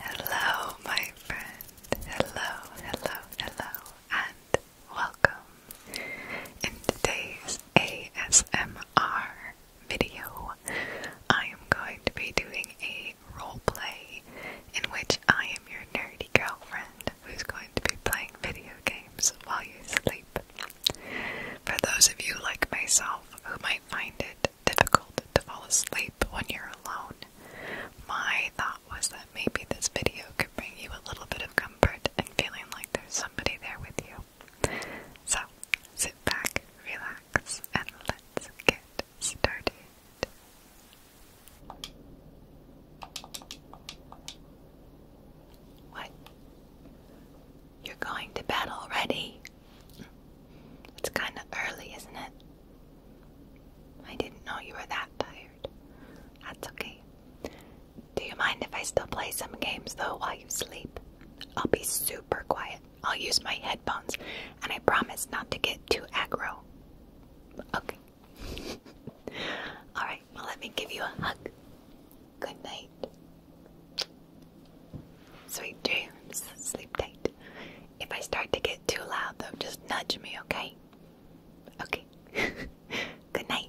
Hello, my friend. Hello, hello, hello, and welcome. In today's ASMR video, I am going to be doing a role play in which I am your nerdy girlfriend who's going to be playing video games while you sleep. For those of you like myself who might might find it difficult to fall asleep when you're alone, my thought was that maybe this video could bring you a little bit of comfort and feeling like there's somebody there with you. So, sit back, relax, and let's get started. What? You're going to bed already? It's kind of early, isn't it? I didn't know you were that tired. That's okay. Do you mind if I still play some games though while you sleep? I'll be super quiet. I'll use my headphones and I promise not to get too aggro. Okay. Alright, well, let me give you a hug. Good night. Sweet dreams. Sleep tight. If I start to get too loud, though, just nudge me, okay? Okay. Good night.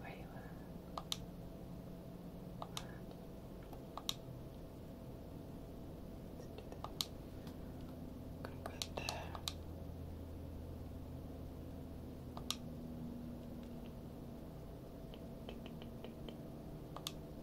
Where you at? What? Let's do this. I'm gonna put it there. Okay.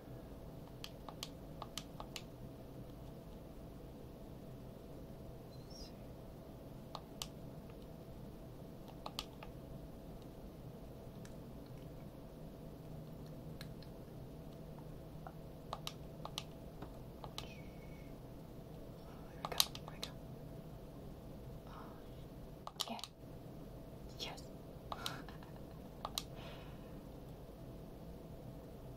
There we go. There we go. Uh, Yes.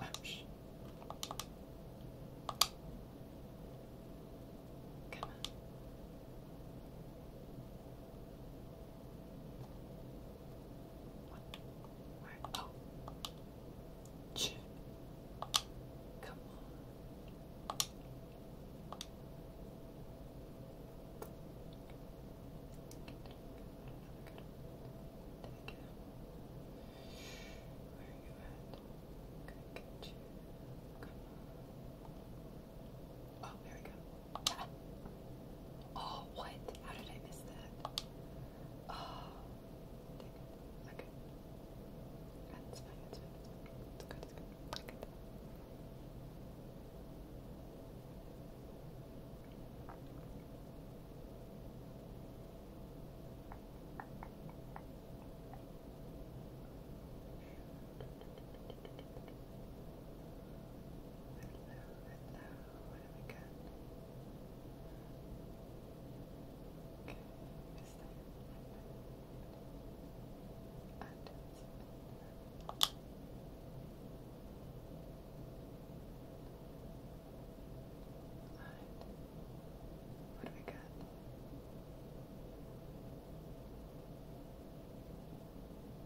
Ouch. Come on. What? Where? Oh. Come on. Oh, there we go. Oh, what? How did I miss that? Oh, Okay. That's fine, that's fine. It's good, it's good. It's good. Hello, hello, what have we got? Okay, is that and Alright. What do we got?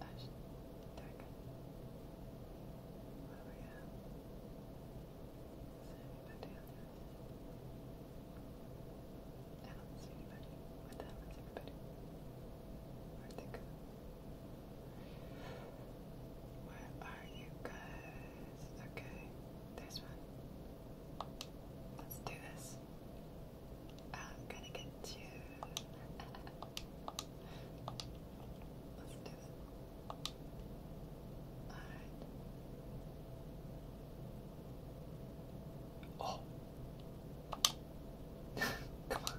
Ash tag. What we have? Is anybody on I don't see anybody. What everybody? where they go? Where are you guys? Okay, there's one. Let's do this. I'm gonna get you. Let's do this. Alright. Oh. Come on.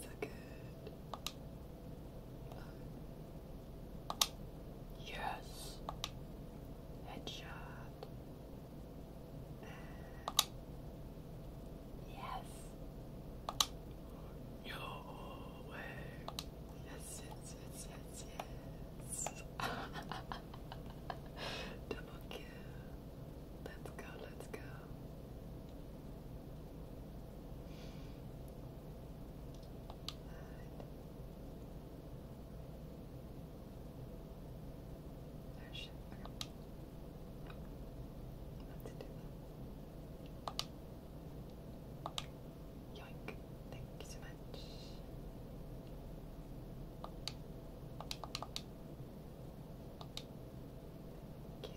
so good. Yes. Headshot. Yes. No way. Yes, yes, yes, yes, yes. Double Let's go, let's go. Right. There Let's do that. Yoink. Thank you so much. Okay. okay. Okay.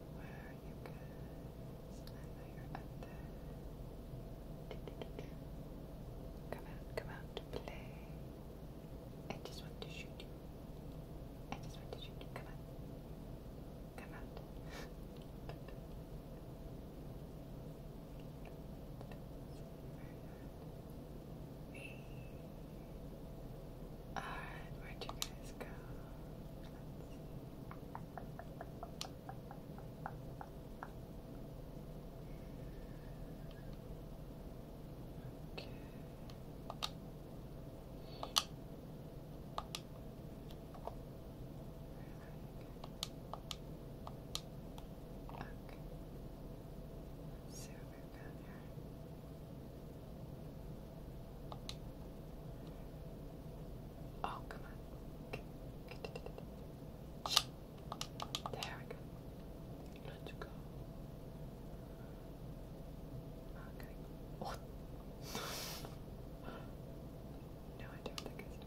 Where are you guys? I know you're up there. Come out, come out to play. I just want to shoot you. I just want to shoot you. Come out. Come out. where'd you guys go? Okay. Okay. Let's see what we've got here. Oh, come on. There we go. Let's go. Okay. Oh. no, I don't think it's.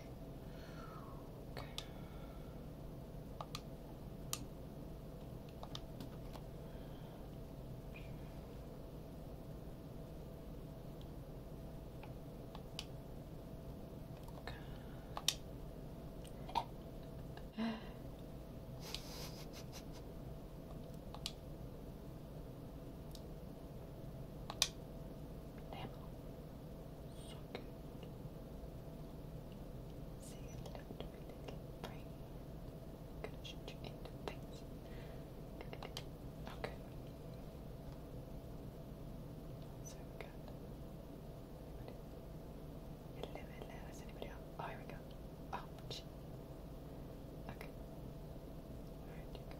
Okay. Okay. Damn socket. See it left little brain. Gonna shoot Okay. So good. got anybody? Hello, hello, is anybody up? Oh, here we go. Oh, gee. Okay. Alright, you go.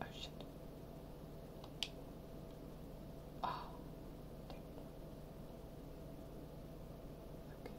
Oh shit. Oh. Okay. Okay.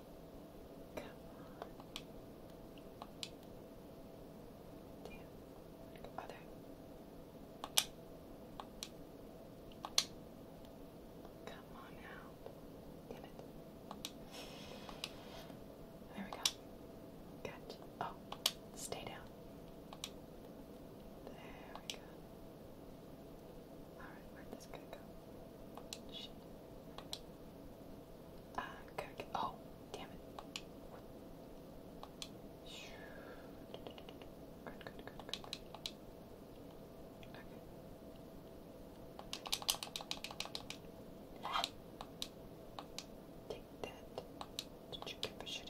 Come on. Damn. Other. Come on now. There we go. Good. Oh, stay down. There we go. Alright, where'd this guy go? Shit. Ah, oh, damn it. Okay. Take that. Did you get for shooting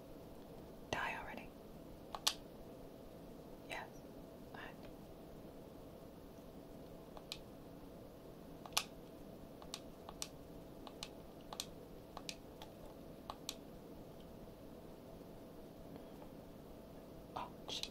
Die already. Yes. Oh, shit.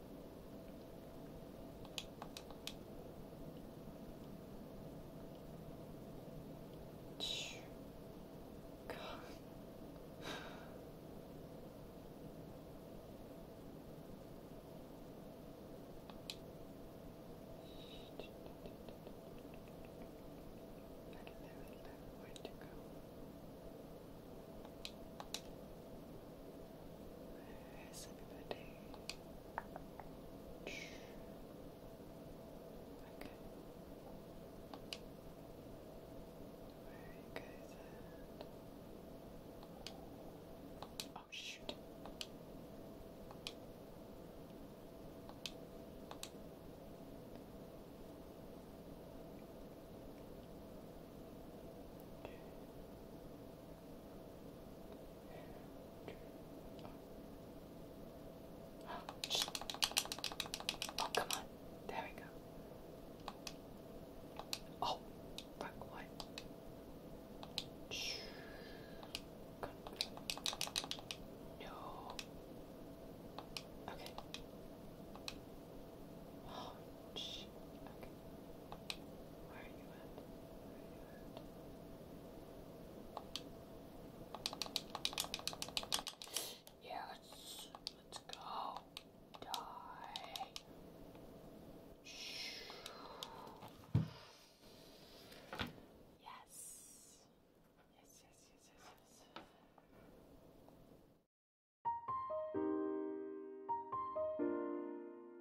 God. I don't know where to go. Where's everybody? Okay. Oh shoot. Okay. Oh, shh. come on. There we go. Oh, fuck Shh. No. Okay. Oh, Yes, let's go. Die. Yes. Yes, yes, yes, yes, yes.